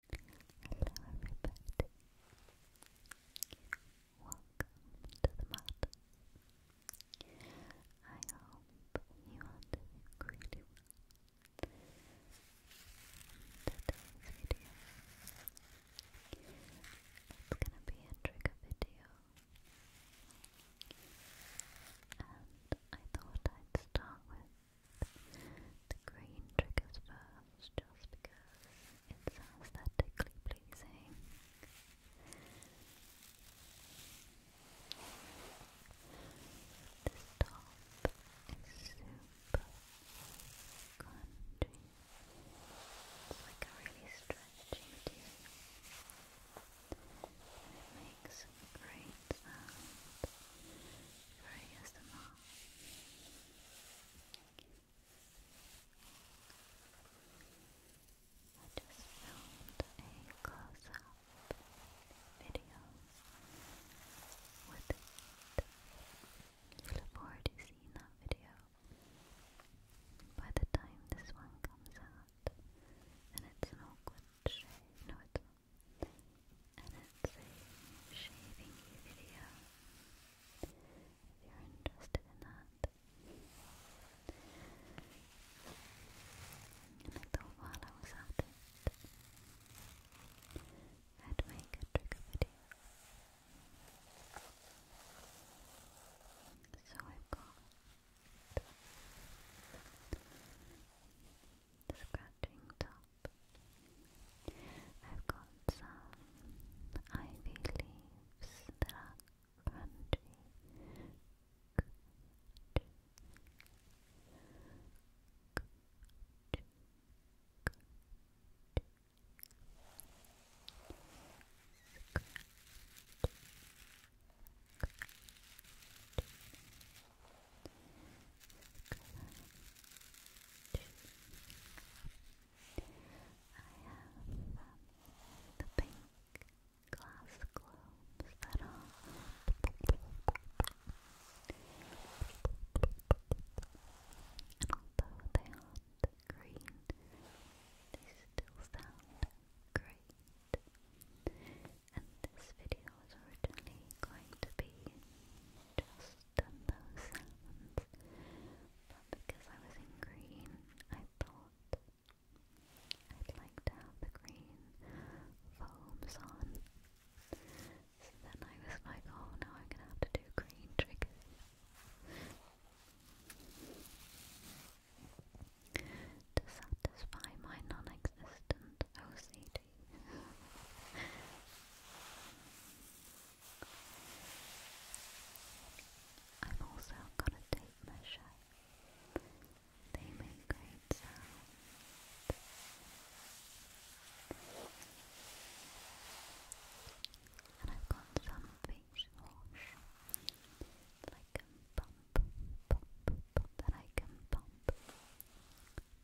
Hello everybody. Welcome to the mountains. I hope you are doing really well. In today's video, it's gonna be a trigger video. And I thought I'd start with the green triggers first just because it's aesthetically pleasing. This top is super crunchy. It's like a really stretchy material. it makes great Very ASMR. I just filmed a close-up video with You look forward to seeing that video. By the time this one comes out, and it's an awkward shape and it's a shaving video if you're interested in that. And I thought while I was at it, I'd make a trigger video. So I've got scratching top. I've got some ivy leaves that are crunchy, crunchy, have the pink glass globes that are and although they aren't green, they still sound great. And this video was originally going to be just done those but because I was in green, I thought I'd like the green foams on. So then I was like, oh, now I'm gonna have to do green triggers. To satisfy my non-existent OCD, I've also got a tape measure. They make great sound. And I've got some face wash that I pump, pump, pump, that I can pump.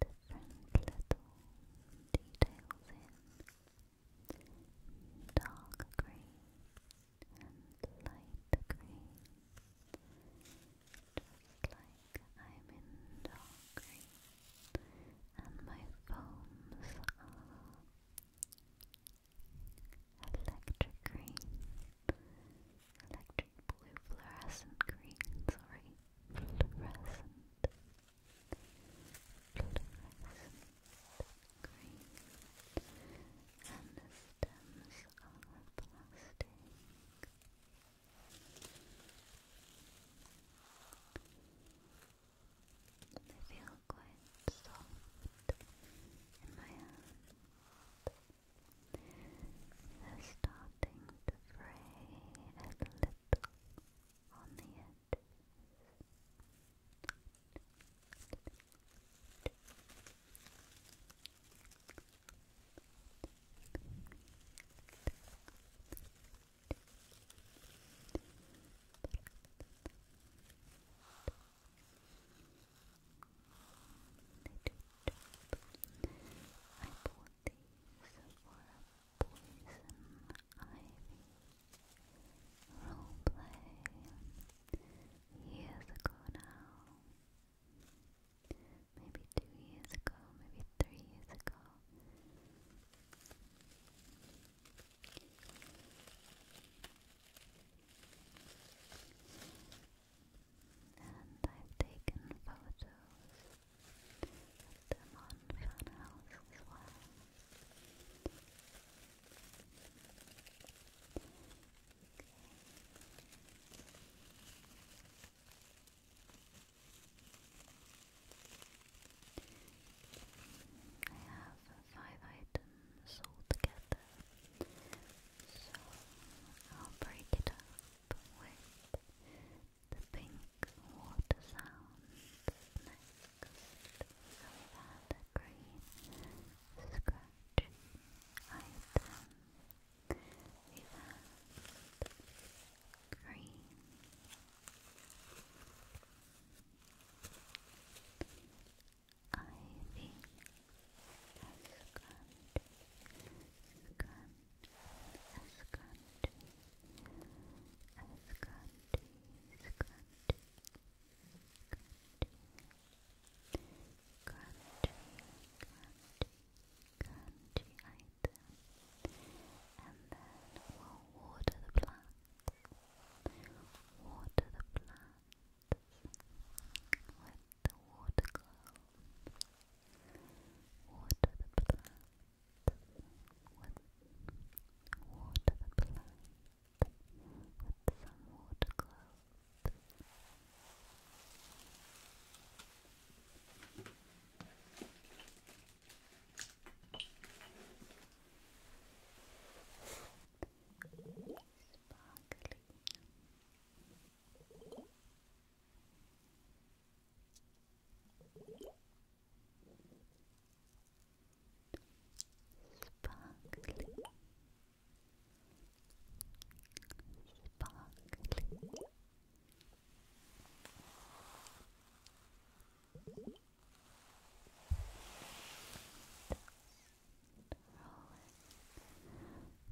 different little details in dark green and light green, just like I'm in dark green and my foams are electric green, electric blue fluorescent green, sorry, fluorescent fluorescent green, and the stems are plastic. They feel quite soft in my hand. They're starting to fray a little on the edges. I pour penalties for poison ivy roleplay years ago now. Maybe two years ago, maybe three years ago. And I've taken photos them on I have five items all so I'll break it up with the pink water sounds next. So we had a green scratchy item. We had green ivy, a scrunch, scrunch. Ascanti, Ascanti, Ascanti, Ascanti, Ascanti, item, and then we'll water the plants, water the plants with the water globe, Water the plants Water the with some water gloves. Sparkly. Sparkly. Sparkly. Roll it,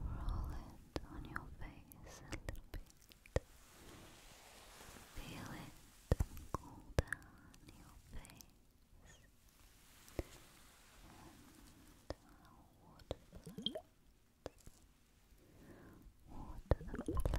roll it on your face a little bit it. Feel it cool down your face and water the Water the plants a little bit.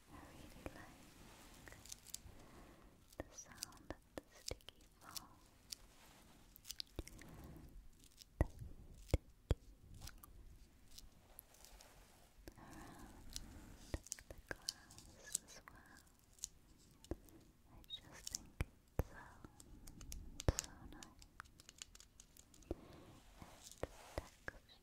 I really like the sound of the sticky ball. Around the glass as well. I just think it sounds so nice. It's textured, textured,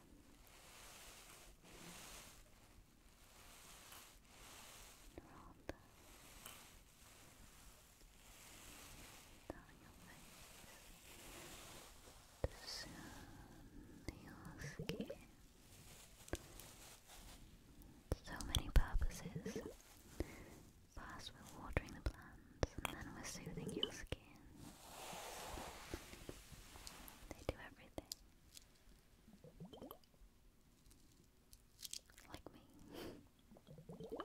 You're all done. Down skin. So many purposes. First, we're watering the plants, and then we're soothing your skin skin. They do everything. Like me.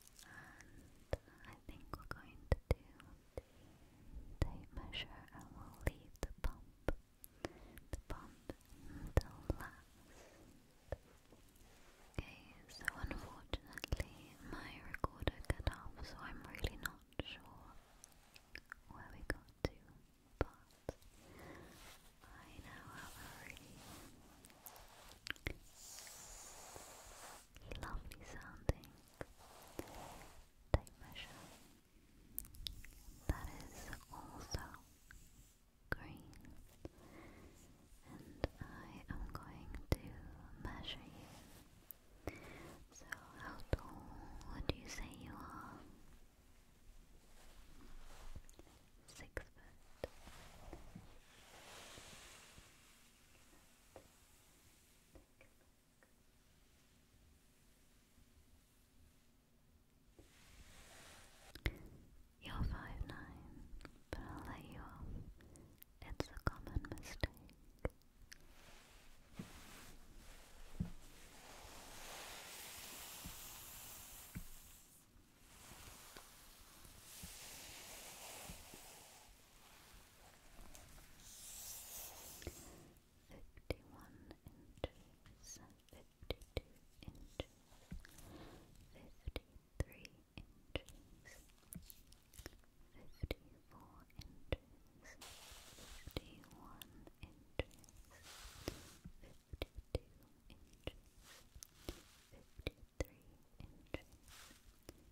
And I think we're going to do tape measure and will leave the pump, the pump until last. Okay, so unfortunately my recorder cut off, so I'm really not sure where we got to, but I now have a really lovely sounding tape measure that is also green and I am going to measure you. So how tall would you say you are? Six foot. You're five nine, but I'll let you off. It's a common mistake fifty-one inches, fifty-two inches, fifty-three inches, fifty-four inches, fifty-one inches, fifty-two inches, fifty-three inches,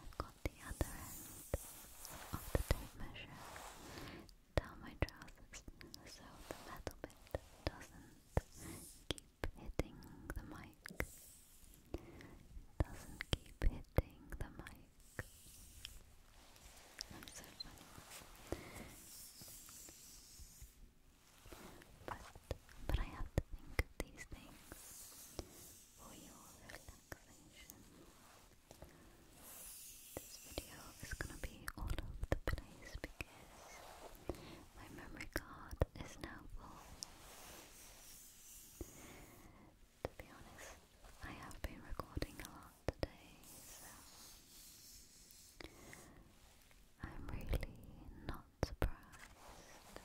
I've got the other end of the tape measure down my trousers so the metal bit doesn't keep hitting the mic. Doesn't keep hitting the mic. But, but I have to think of these things for your relaxation. This video is gonna be all over the place because my memory card is now full. To be honest, I have been recording a lot today, so I'm really not surprised.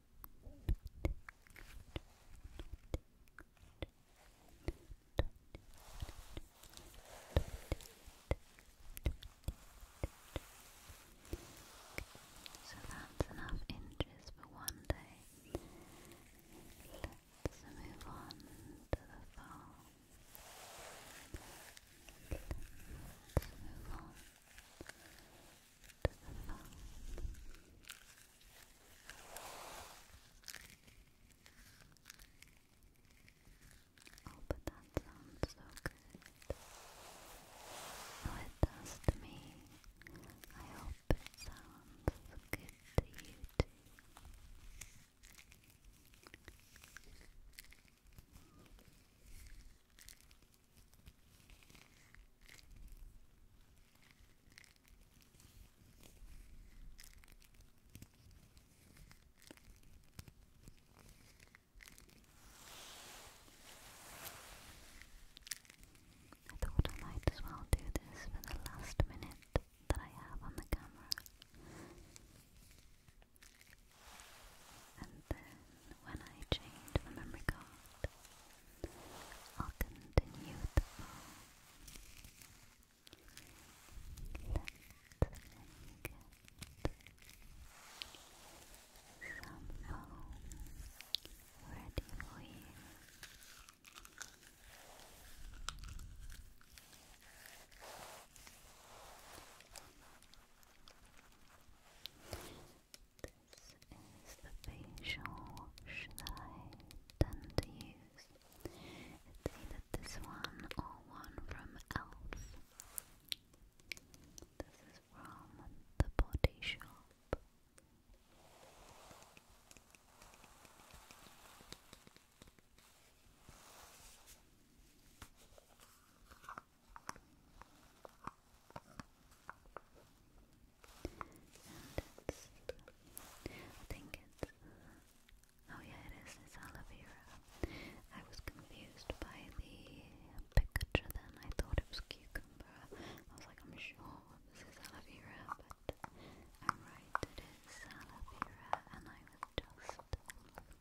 So that's enough inches for one day. Let's move on to the fall. Let's move on to the that sounds so good. Oh, me. I hope it sounds good to you I thought I might as well do this for the last minute that I have on the camera. And then when I change the memory card, I'll continue the phone. let get some ready for you. This is the facial that I tend to use. It's either this one or one from e.l.f. This is from the Body Shop. I think it's, oh yeah it is, it's I was confused by the picture then, I thought it was cucumber. I was like, I'm sure this is aloe vera, but I'm right, it is aloe vera, and I was just getting confused.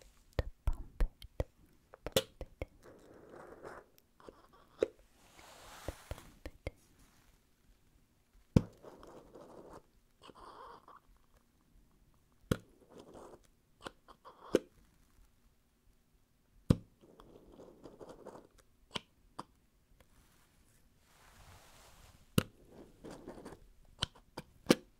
to pump it, pump it pump it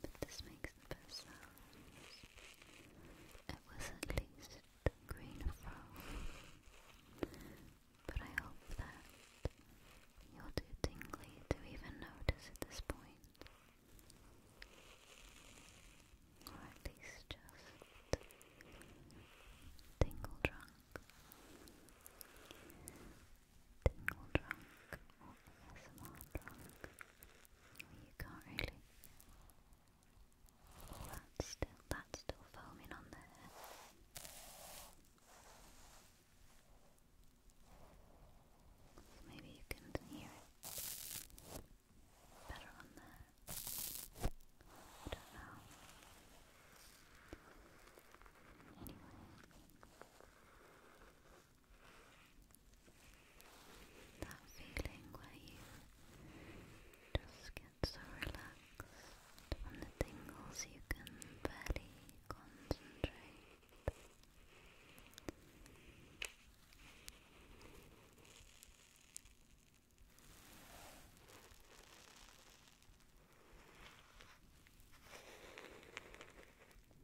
But this makes the best sounds. It was at least green from. But I hope that you're too tingly to even notice at this point. Or at least just tingle drunk. Tingle drunk or ASMR drunk. You can't really. that's still that's still foaming on there. Maybe you can hear it better on there. I don't know. Anyway, that feeling where you just get so relaxed from the tingles you can barely concentrate.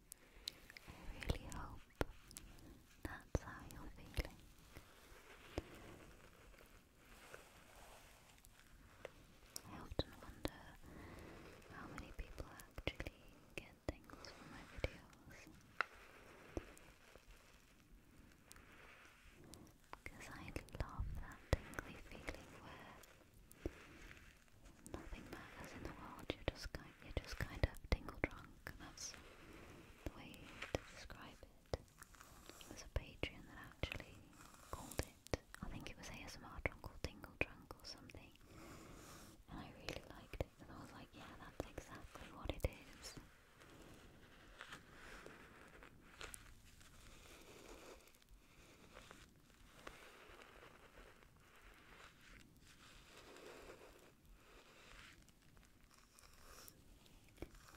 I really hope that's how you're feeling. I often wonder how many people actually get things from my videos. Because I love that tingly feeling where nothing matters in the world. You're just kind, you're just kind of tingle drunk, that's the way to describe it. There's a Patreon that actually called it. I think it was ASMR drunk or tingle drunk or something, and I really liked it. And I was like, yeah, that's exactly what it is.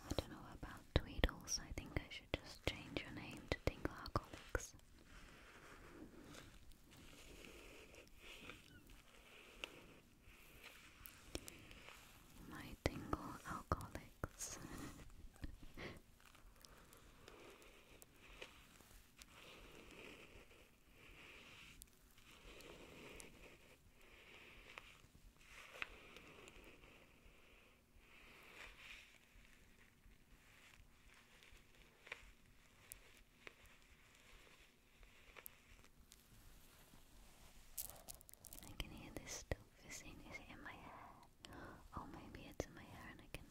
I don't know about Tweedles, I think I should just change your name to Tingle Alcoholics. My Tingle Alcoholics. I can hear this still fizzing. Is it in my hair? Oh, maybe it's in my hair and I can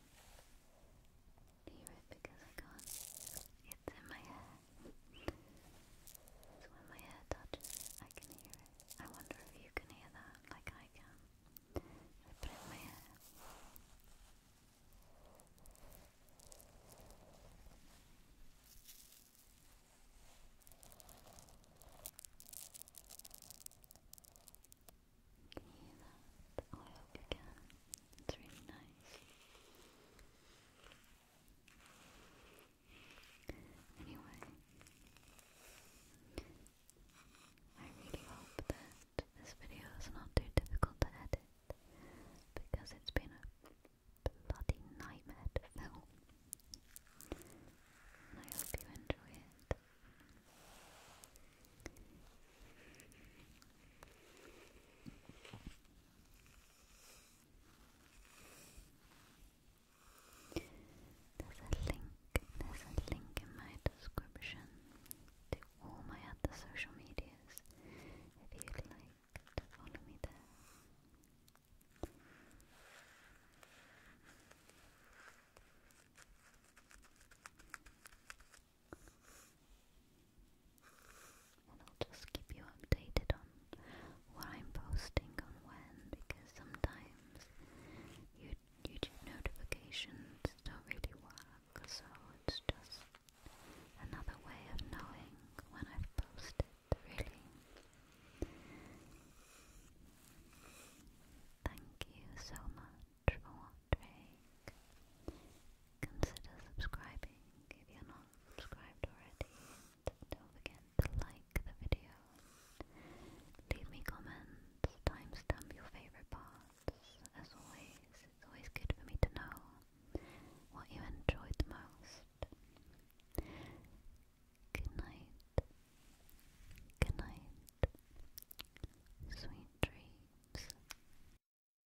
hear it because I can't. It's in my hair. So when my hair touches it, I can hear it. I wonder if you can hear that like I can. put in my hair. hear that? I hope you can. It's really nice. Anyway, I really hope that this video is not too difficult to edit because it's been a bloody nightmare I hope you enjoy it. There's a link, there's a link in my description to all my other social medias if you'd like to follow me there. I'll just keep you updated on what I'm posting on when, because sometimes YouTube notifications don't really work, so it's just another way of knowing when I've posted, really. Thank you so much for watching. Consider subscribing if you're not subscribed already. don't forget to like the video. Leave me comments, timestamp your favorite parts. As always, it's always good for me to know what you enjoyed the most. Good night. Good night. Sweet dreams.